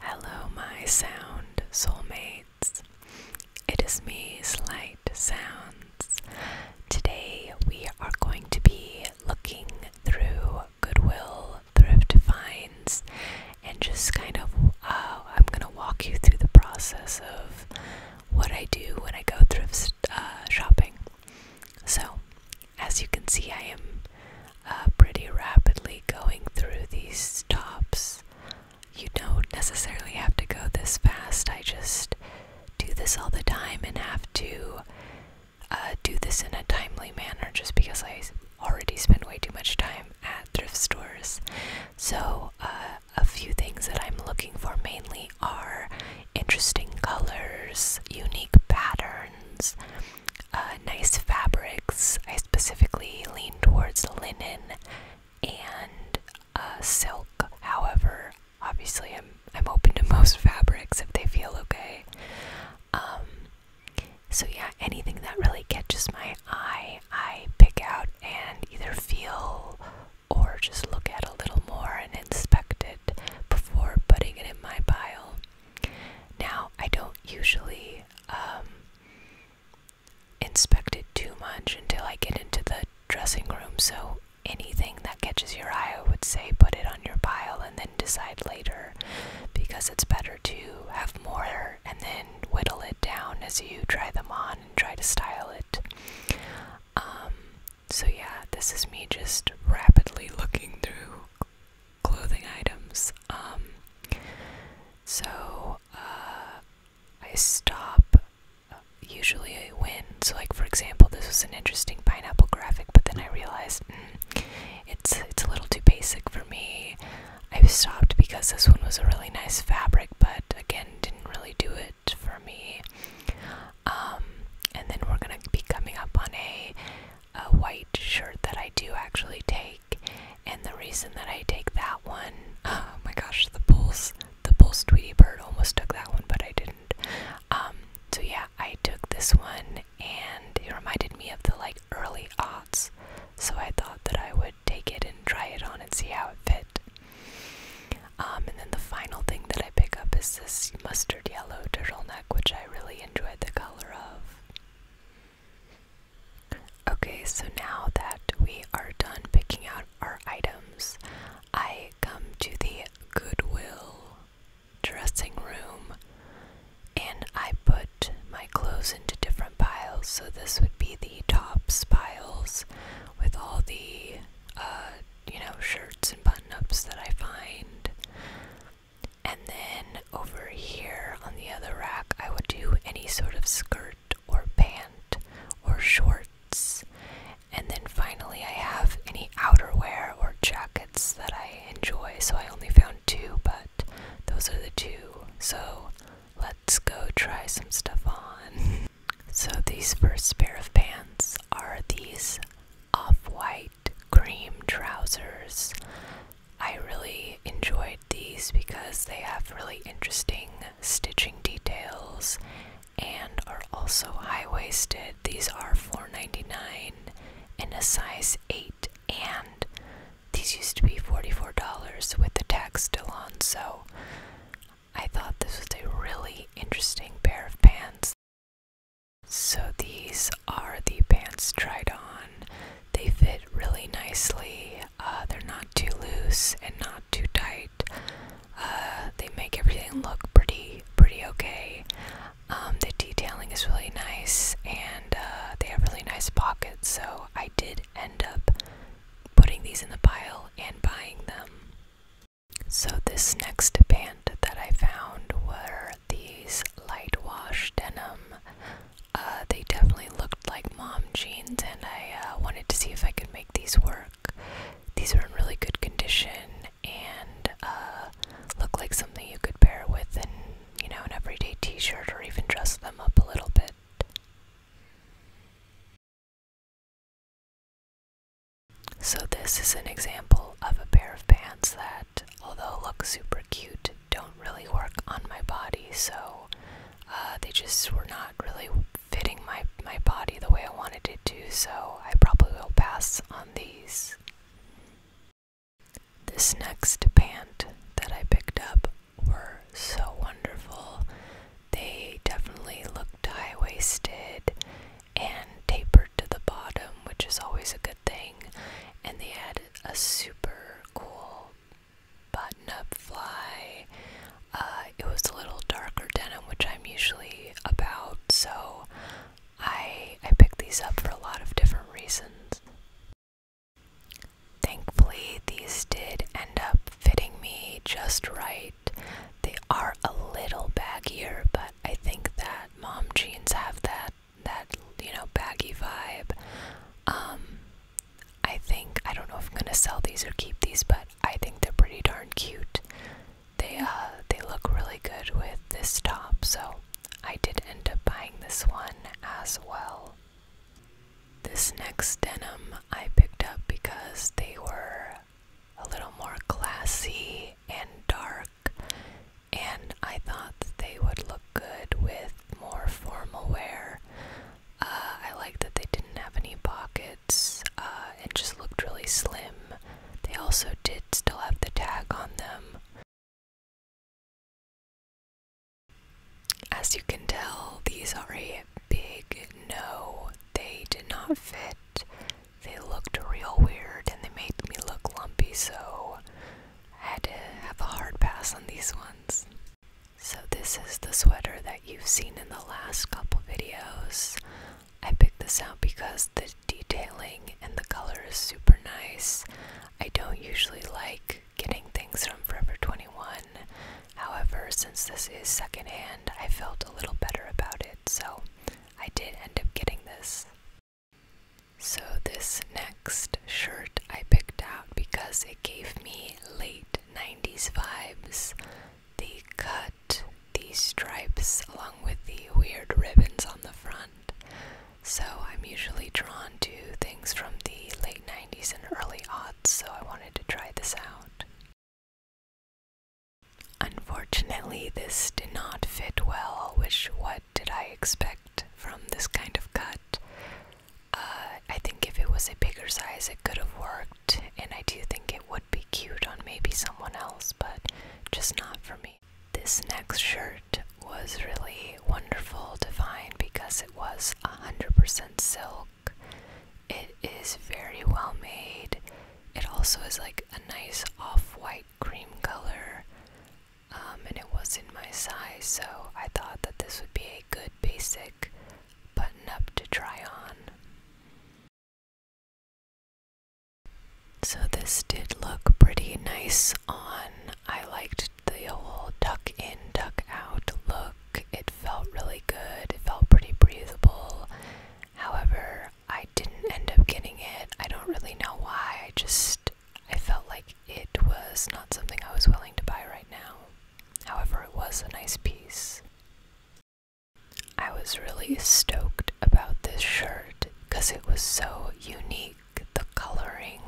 Hello, my sound soulmates. It is me, Slight Sounds. Today we are going to be looking through Goodwill Thrift Finds and just kind of, uh, I'm going to walk you through the process of what I do when I go thrift uh, shopping. So, as you can see, I am uh, pretty rapidly going through these stops. You don't necessarily have to go this fast. I just do this all the time and have to uh, do this in a timely manner just because I already spend way too much time at thrift stores. So, uh, a few things that I'm looking for mainly are interesting colors, unique patterns, uh, nice fabrics. I specifically lean towards linen and uh, silk. However, obviously, I'm I'm open to most fabrics if they feel okay. Um, so yeah, anything that really catches my eye, I pick out and either feel or just look at a little more and inspect it before putting it in my pile. Now, I don't usually um, inspect it too much until I get into the dressing room, so anything that catches your eye, I would say put it on your pile and then decide later because it's better to have more and then whittle it down as you try them on and try to style it. Um, so, yeah, this is me just rapidly looking through clothing items. Um, so uh, I stop usually I win. So, like for example, this was an interesting pineapple graphic, but then I realized hmm, it's it's a little too basic for me. I stopped because this one was a really nice fabric, but again, didn't really do it for me. Um, and then we're gonna be coming up on a, a white shirt that I do actually take and the reason that I take that one, oh my gosh, the Bulls, the Bulls Tweety Bird almost took that one, but I didn't. Um, so yeah, I took this one and it reminded me of the like early aughts. So I thought that I would take it and try it on and see how it fit. Um, and then the final thing that I pick up is this mustard yellow turtleneck, which I really enjoyed the color of. Okay, so now that we are done picking out our items, I come to the Goodwill dressing room and I put my clothes into different piles. So this would be the tops piles with all the, uh, you know, shirts and button ups that I find. And then over here on the other rack, I would do any sort of skirt or pant or shorts. And then finally, I have any outerwear or jackets that I enjoy. So I only found two, but those are the two. So let's go try some stuff on. so, these first pair of pants are these off white cream trousers. I really enjoyed these because they have really interesting stitching details and are also high waisted. These are $4.99 in a size 8, and these used to be $44 with the tax still on, so I thought this was a really interesting pair of pants. So these are the pants tried on. They fit really nicely. Uh, they're not too loose and not too tight. Uh, they make everything look pretty, pretty okay. Um, the detailing is really nice, and uh, they have really nice pockets. So I did end up putting these in the pile and buying them. So this next pant that I found were these light wash denim uh, they definitely looked like mom jeans, and I uh, wanted to see if I could make these work. These are in really good condition and uh, look like something you could pair with in, you know, an everyday t-shirt or even dress them up a little bit. So this is an example of a pair of pants that that, although look super cute, don't really work on my body. So uh, they just were not really fitting my my body the way I wanted it to. So I probably will pass on these. This next pant that I picked up were so wonderful. They definitely looked high waisted and tapered to the bottom, which is always a good thing and they had a super cool button up fly. Uh, it was a little darker denim, which I'm usually about, so I, I picked these up for a lot of different reasons. Thankfully, these did end up fitting me just right. They are a little baggier, but I think that mom jeans have that that you know baggy vibe. Um, I think I don't know if I'm gonna sell these or keep these, but I think they're pretty darn cute. They uh, they look really good with this top, so I did end up buying this one as well. This next denim I picked up because they were a little more classy and dark and I thought they would look good with more formal wear. Uh, I liked that they didn't have any pockets uh, and just looked really slim. They also did still have the tag on them. As you can tell, these are a big no. They did not fit. They looked real weird and they made me look lumpy, so had to have a hard pass on these ones. So this is the sweater that you've seen in the last couple videos. I picked this out because the detailing and the color is super nice. I don't usually like getting things from Forever 21. However, since this is secondhand, I felt a little better about it, so I did end up getting this. So, this next shirt I picked out because it gave me late 90s vibes. The cut, the stripes, along with the weird ribbons on the front. So, I'm usually drawn to things from the late 90s and early aughts, so I wanted to try this out. Unfortunately, this did not fit well, which was did I expect from this kind of cut? Uh, I think if it was a bigger size, it could have worked, and I do think it would be cute on maybe someone else, but just not for me. This next shirt was really wonderful to find because it was 100% silk. It is very well made. It also is like a nice off white cream color. Um, and it wasn't my size, so I thought that this would be a good basic button up to try on. So, this did look pretty nice on. I liked the whole tuck in, tuck out look. It felt really good, it felt pretty breathable. However, I didn't end up getting it. I don't really know why. I just I felt like it was not something I was willing to buy right now. However, it was a nice piece. I was really stoked about this shirt because it was so unique. The coloring,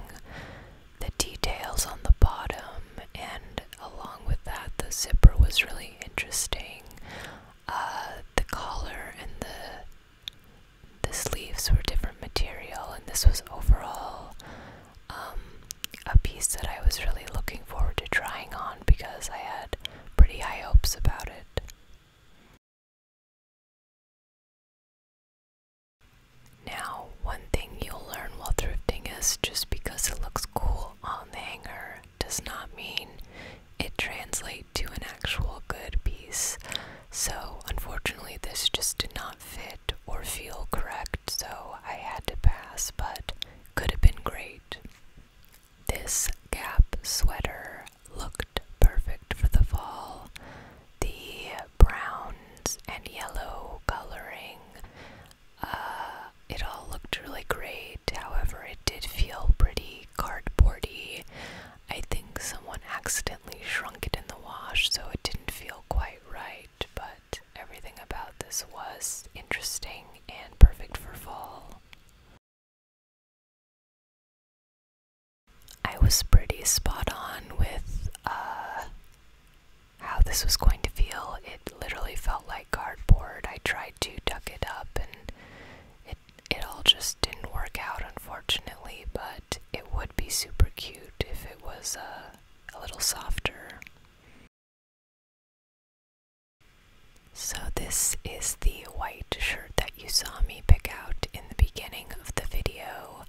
the details on the bottom, and along with that, the zipper was really interesting. Uh, the collar and the the sleeves were different material, and this was overall um, a piece that I was really looking forward to trying on because I had pretty high hopes about it. Now, one thing you'll learn while thrifting is just because it looks cool on the hanger does not mean it translates to an actual good piece. So, unfortunately, this just did not fit or feel correct, so I had to pass, but could have been great. This Gap sweater looked perfect for the fall. The browns and yellow coloring, uh, it all looked really great. However, it did feel pretty cardboardy. I think someone accidentally shrunk it in the wash, so it didn't feel quite right, but everything about this was interesting and perfect for fall. I was pretty spot on with uh, how this was going to feel. It literally felt like cardboard. I tried to tuck it up and it it all just didn't work out, unfortunately, but it would be super cute if it was uh, a little softer. So, this is the white shirt that you saw me pick out in the beginning of the video.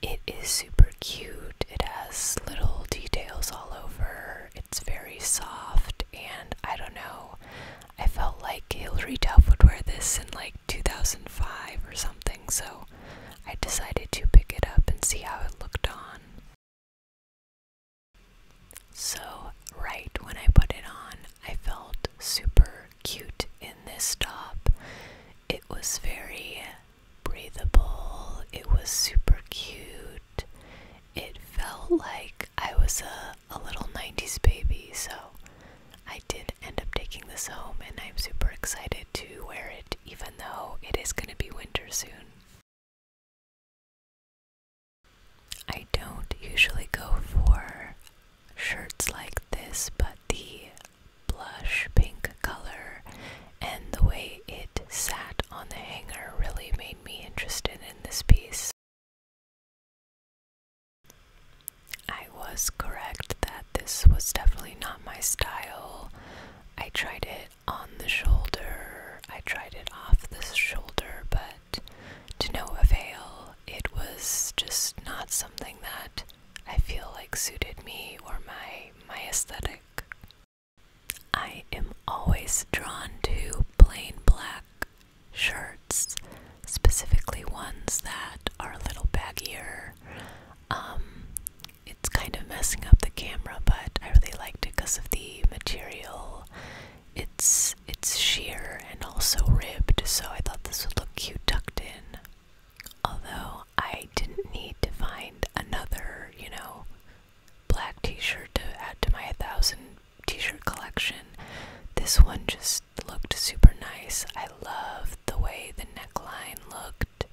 It is super cute, it has little details all over, it's very soft, and I don't know, I felt like Hilary-Duff would wear this in like 2005 or something, so I decided to pick it up and see how it looked on. So, right when I put it on, I felt super cute in this top. It was very breathable, it was super cute. It felt like I was a, a little 90s baby, so I did end up taking this home and I'm super excited to wear it even though it is going to be winter soon. I don't usually go for shirts like this, but the blush pink color and the way it sat on the hanger really made me interested in this piece. I was correct that this was definitely not my style. I tried it on the shoulder, I tried it off the shoulder, but to no avail. It was just not something that I feel like suited me or my my aesthetic. I am always drawn to plain black shirts, specifically ones that are a little baggier. Um, it's kind of messing up the camera, but I really liked it because of the material. It's it's sheer and also ribbed, so I thought this would look cute tucked in. Although I didn't need to find another, you know, black t-shirt to add to my 1000 t-shirt collection. This one just looked super nice. I love the way the neckline looked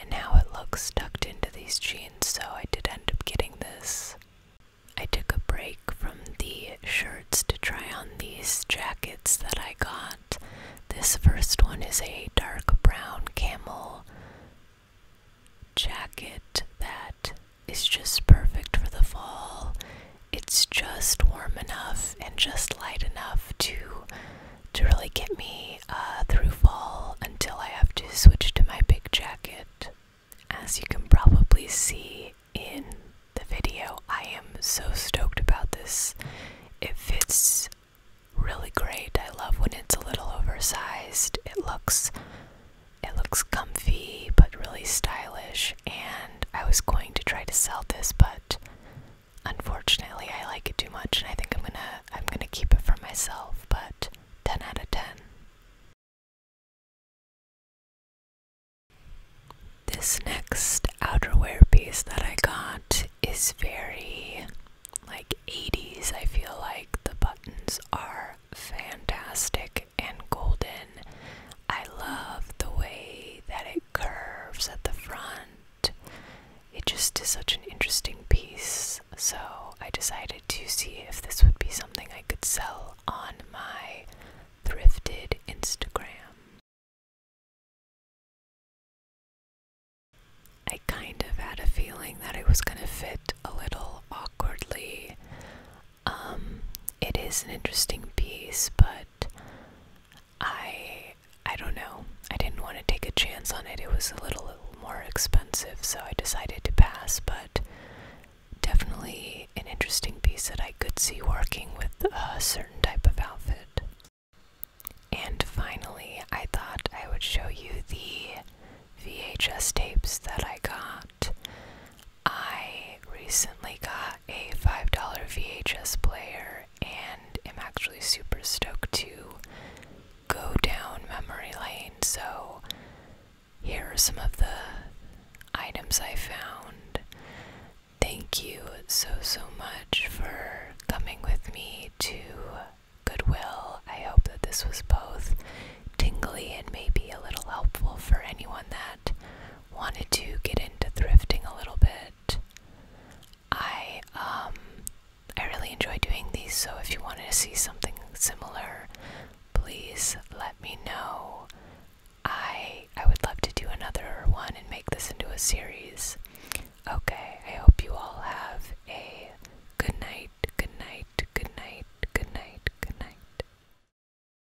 and how it looks tucked into these jeans, so I did end up getting this. I took a break from the shirts to try on these jackets that I got. This first one is a dark brown camel jacket that is just perfect for the fall it's just warm enough and just light enough to to really get me uh, through fall until I have to switch to my big jacket. As you can probably see in the video, I am so stoked about this. It fits really great. I love when it's a little oversized. It looks it looks comfy but really stylish and I was going to try to sell this, but unfortunately, I like it too much, and I think I'm gonna I'm gonna keep it for myself. But ten out of ten. This next outerwear piece that I got is very like 80s. I feel like the buttons are fantastic and golden. I love the way that it curves at the front. It just is such an interesting piece, so I decided to see if this would be something I could sell on my thrifted Instagram. I kind of had a feeling that it was going to fit a little awkwardly. Um, it is an interesting piece, but I I don't know. I didn't want to take a chance on it. It was a little more expensive, so I decided to pass, but definitely an interesting piece that I could see working with a certain type of outfit. And finally, I thought I would show you the VHS tapes that I got. I recently got a $5 VHS player and am actually super stoked to go down memory lane. So, here are some of the items I found. Thank you so, so much for coming with me to Goodwill. I hope that this was both tingly and maybe a little helpful for anyone that wanted to get into thrifting a little bit. I um I really enjoy doing these, so if you wanted to see something similar, please let me know. I I would love to do another one and make this into a series. Okay, I hope you all have a good night, good night, good night, good night, good night.